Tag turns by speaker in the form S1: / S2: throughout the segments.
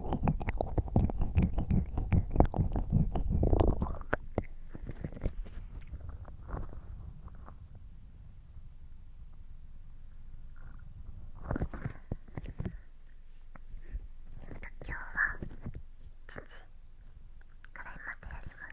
S1: 今日は1時くらいまでやります。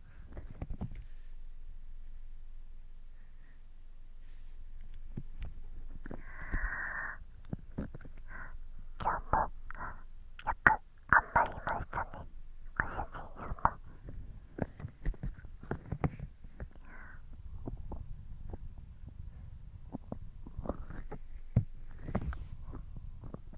S1: 今日もよく頑張りましたねご主人様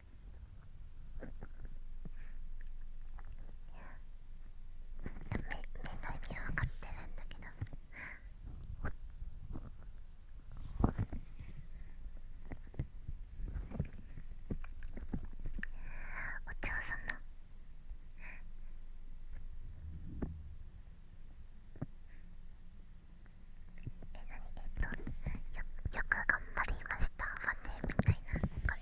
S1: いや。め、の意味は分かってるんだけどお嬢さんのえ、なにえっとよ、よく頑張りましたわねみたいなこれ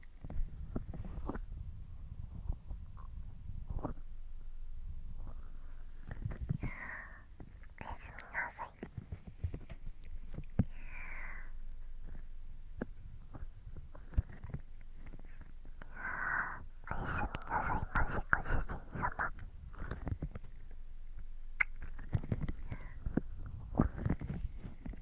S1: おやすみなさいおやすみなさいまじご主人様おやすみなさい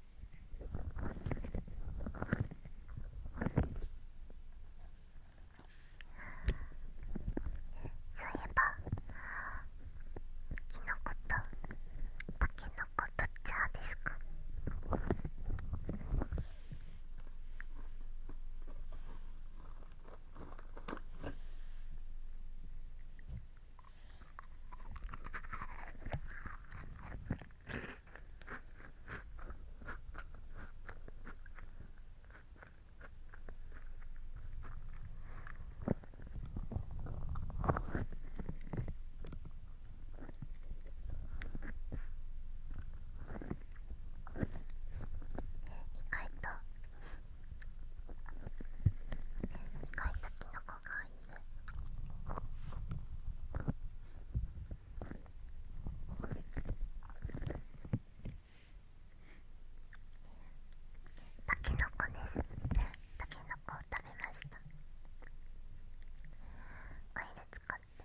S1: そういえばきのことたけのことチャーですか回と意外とキノコがいる。たけのこですたけのこを食べましたオイル使って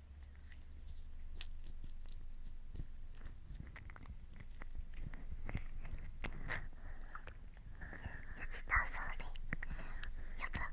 S1: 吉田総理やばあ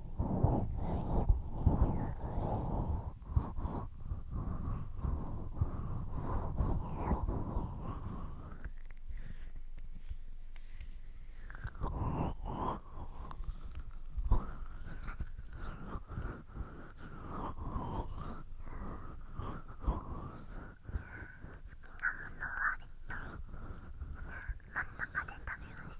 S1: 真ん中で食べます。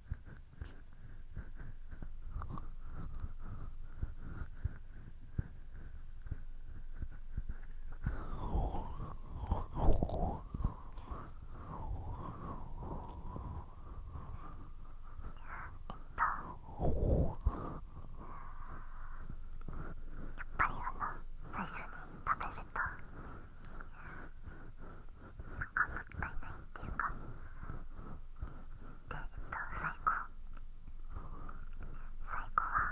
S1: やっぱりあの最初に食べると。かもったいないっていうかでえっと最後最後は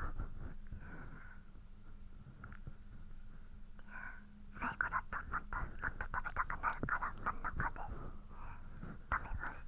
S1: 最後だとまたもっと食べたくなるから真ん中で食べます。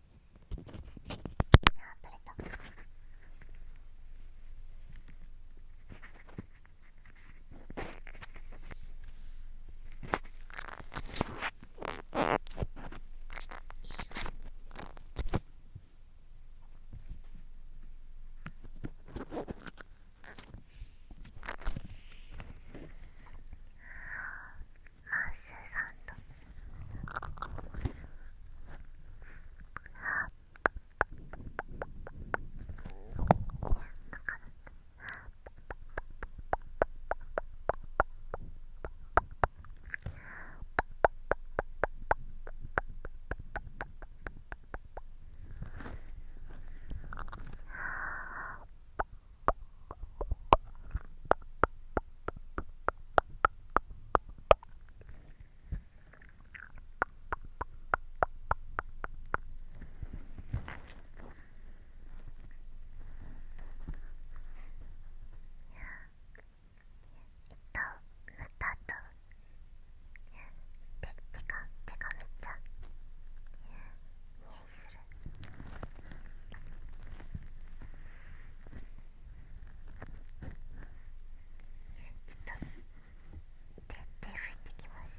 S1: 取れた。マッシュさんとあなあ塗ったあと手手が手がめっちゃ匂いする。ちょっと手手拭いてきます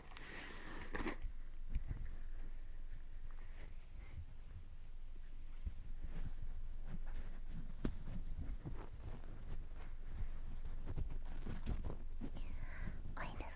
S1: おいだろ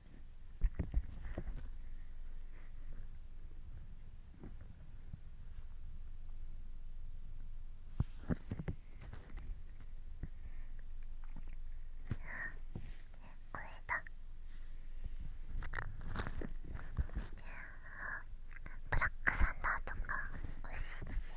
S1: これだブラックサンダーとか美味しいですよ。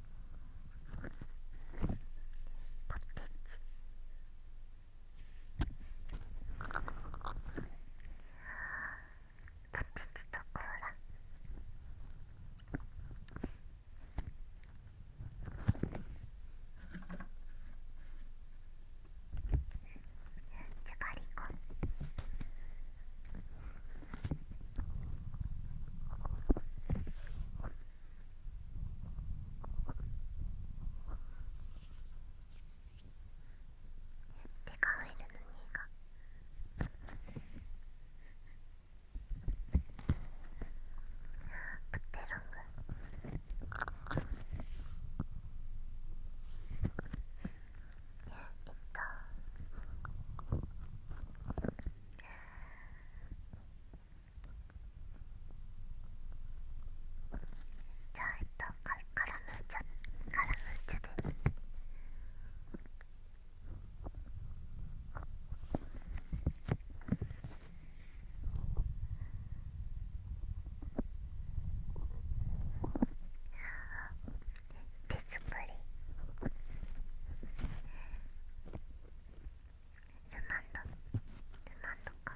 S1: ポテチポテチとコーラじゃがりこ。手が入るのにが。プテロングえっとじゃあえっとカカラムーチャカラムーチャで手作り。マンドルマンドか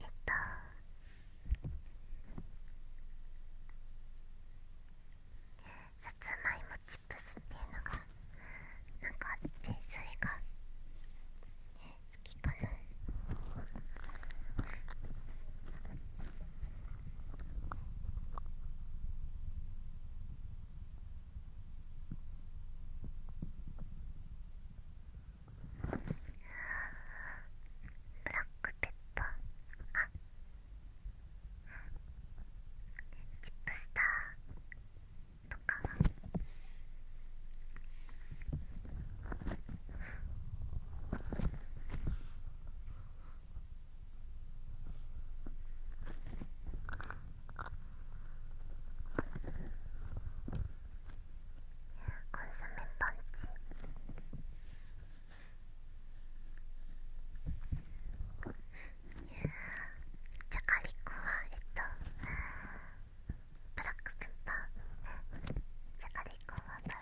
S1: えっとさつまいもチップスっていうのがなんかあってそれが好きかな。ブラックペッパーあチップスターとかコンソメパンチじゃがりこはえっとブクペッパーじゃがりこは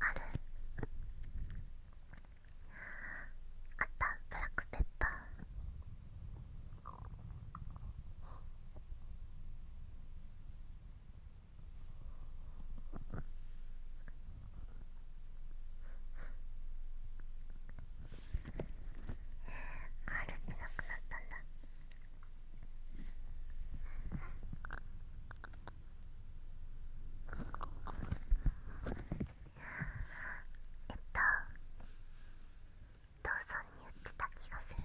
S1: あるあったブラックペッパーカールってなくなったんだ。えっと父さんに言ってた気がする左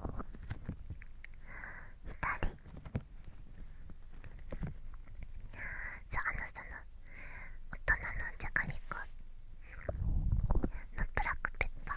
S1: そうあのその大人のジャカりコ。のブラックペッパー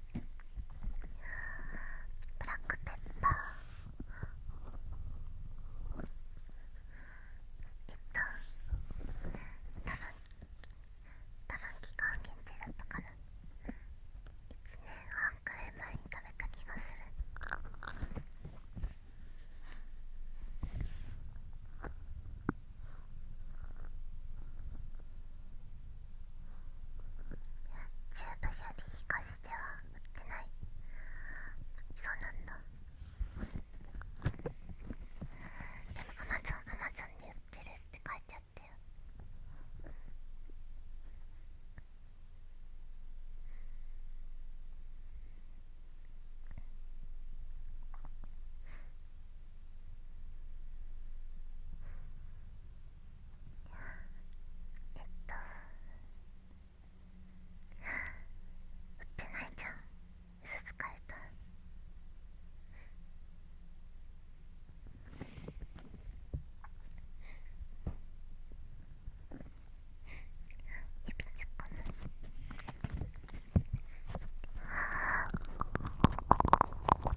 S1: ブラックペッパーえっと多分多分期間限定だったかな1年半くらい前に食べた気がするチューブより引かしては売ってないそうなんだでもアマゾンアマゾンで売ってるって書いてあったよえっと売ってないじゃん嘘つかれた指突っ込むあ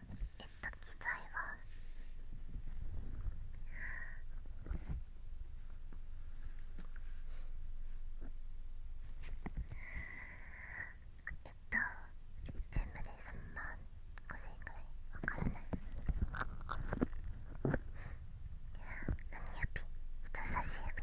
S1: えっと機材はえっと全部で3万5千円くらいわからない何指人差し指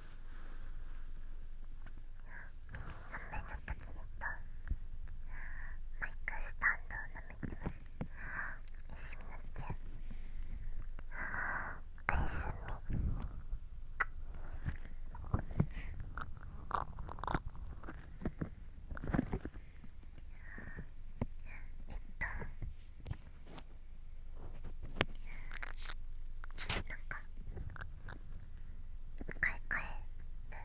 S1: 耳めのときとマイクスタンドを舐めてます休みなっちゃお休みえっとなんか。買い替える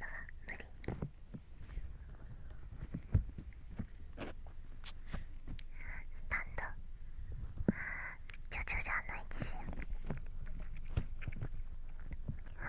S1: のは無理スタンド徐々じゃないですよああ。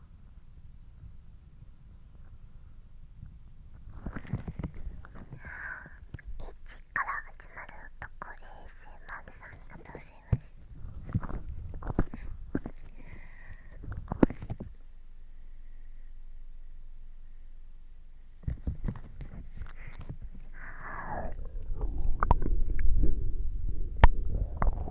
S1: チから始まる男 ASMR さんありがとうございます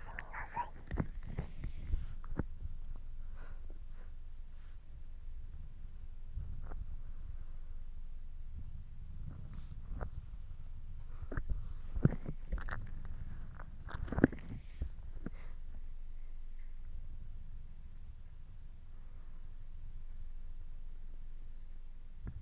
S1: すみなさい。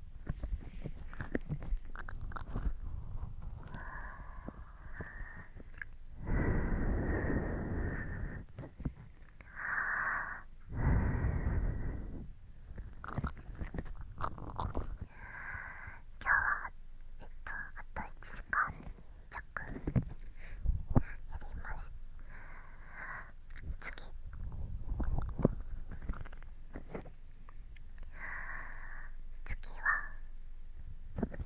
S1: 今日はえっとあと1時間弱やります次次はえっと次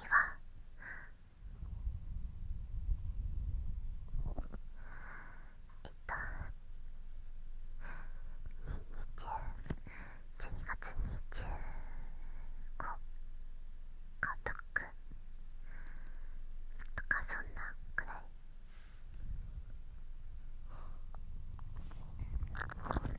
S1: 次はえっと20 12月25かとくとかそんなくらいえっ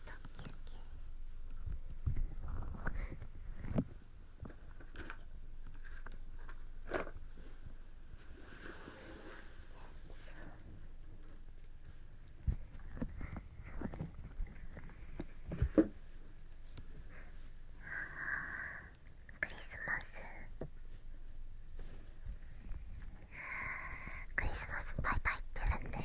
S1: しクリスマスクリスマスいっぱい入ってるんだよ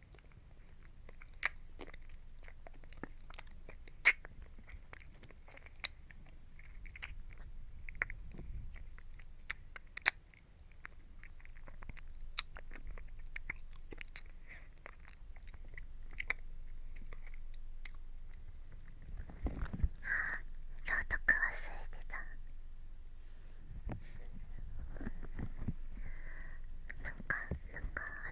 S1: あ朗読忘れてたなんかなんか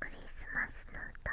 S1: クリスマスの歌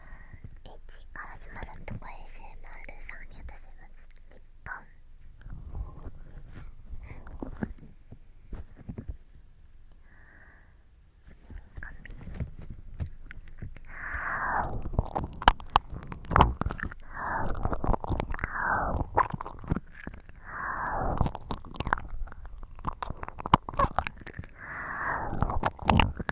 S1: H から始まるとこ ASMR さんに私は日本耳かみ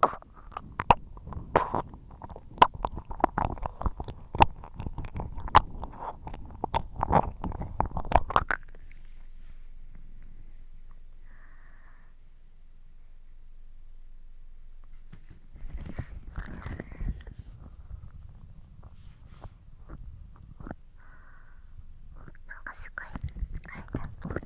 S1: なんかすごい書いてる。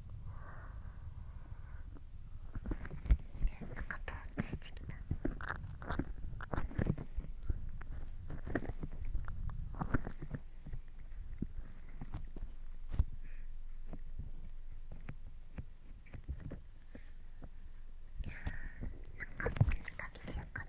S1: な落してきた。なんかピカピカしようかな。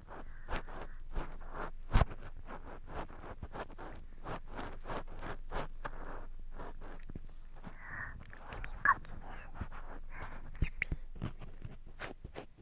S1: かきですねゆぴ耳かかき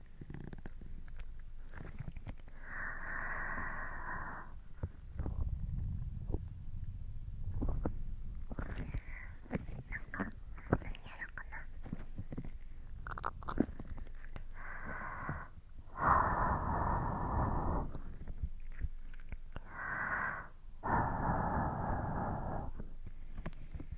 S1: か何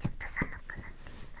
S1: ちょっと寒くなってきた。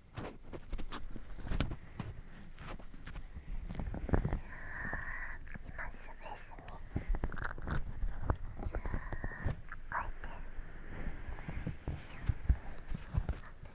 S1: 今すべすみあいてよいしょあっとあ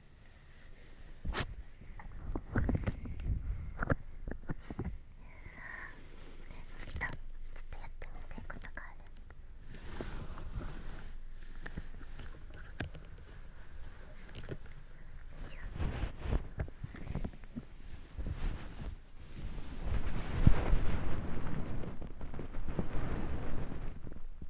S1: ちょっとちょっとやってみたいことがあるよいしょ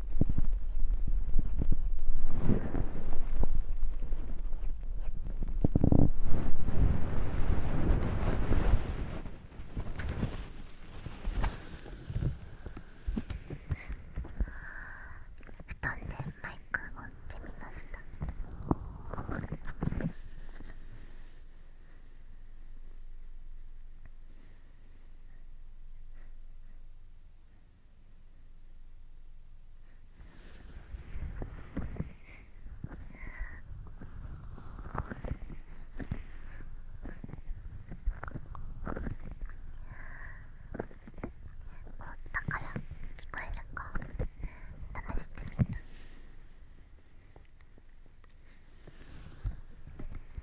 S1: 布団でマイクを置いてみました凍ったから聞こえるか試してみた。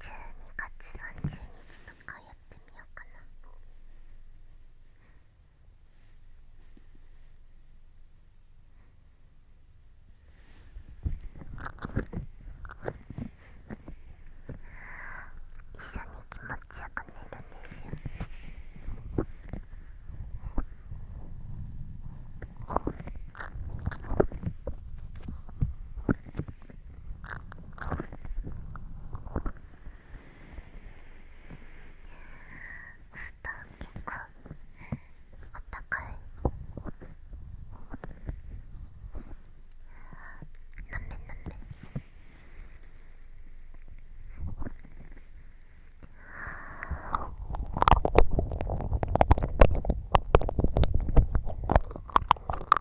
S1: 12月30日とかやってみようかな一緒に気持ちよく寝るんですよ構あったかいなめなめ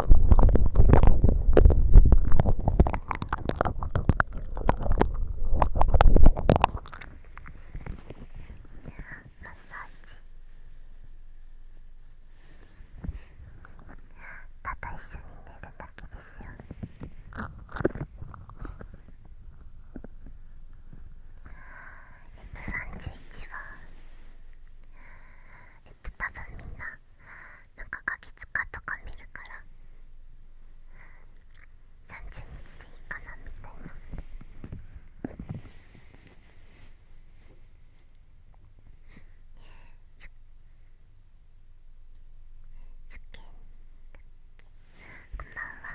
S1: ただ一緒に寝るだけですよリップ31えっと多分みんななんかガキ使とか見るから30日でいいかなみたいな。こんばんは。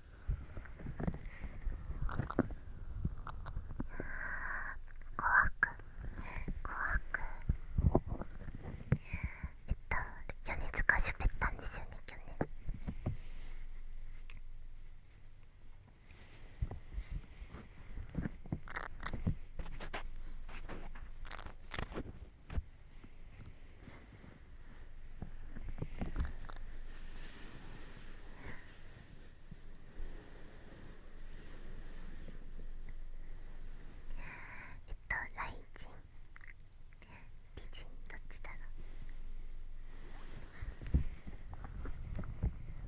S1: 怖く怖くえっと米塚しゃべったんですよね去年ええっとライチン人どっちだろ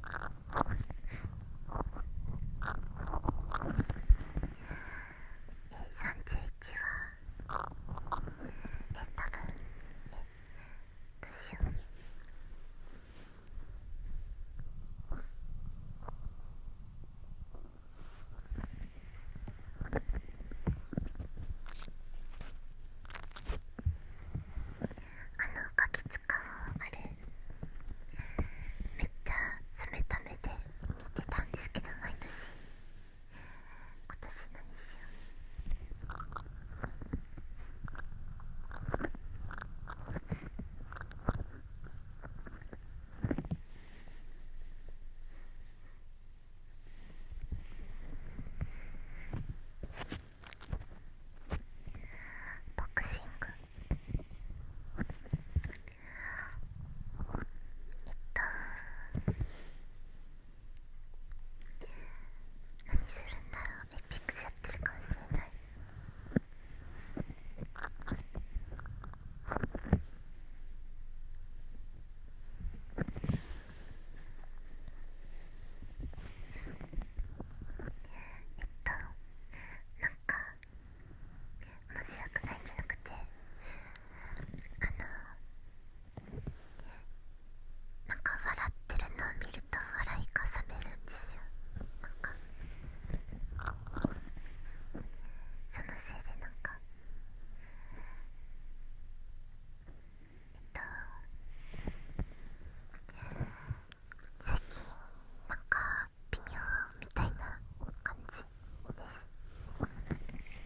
S1: え31はえ多分え私は。よあのガキかうあれめっちゃ冷た目で見てたんですけど毎年。今年何しようボクシングやった。何するんだろうエピックスやってるかもしれないえっとなんか面白くないんじゃなくてあのなんか笑ってるのを見ると笑いかさめるんですよなかそのせいでなんかえっと最近なんか微妙みたいな感じです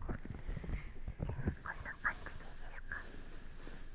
S1: こんな感じでいいですか。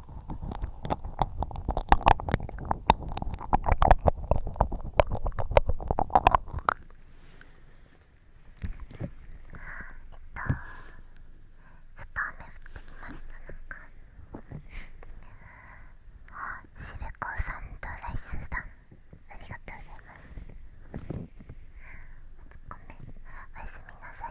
S1: えっとちょっと雨降ってきましたなんかあしべこさんとライスさんありがとうございますごめんおやすみなさい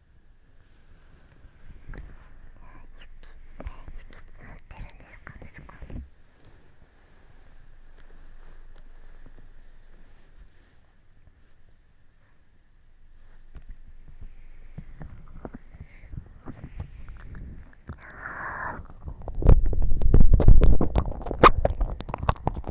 S1: 雪雪積もってるんですかすごああ。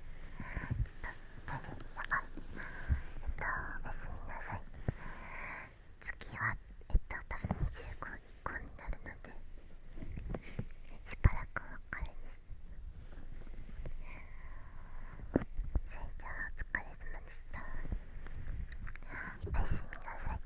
S1: ちょっと風邪やばいえっとおやすみなさい次はえっとた多分25以降になるのでしばらくお別れですそれじゃあお疲れ様でしたおやすみなさい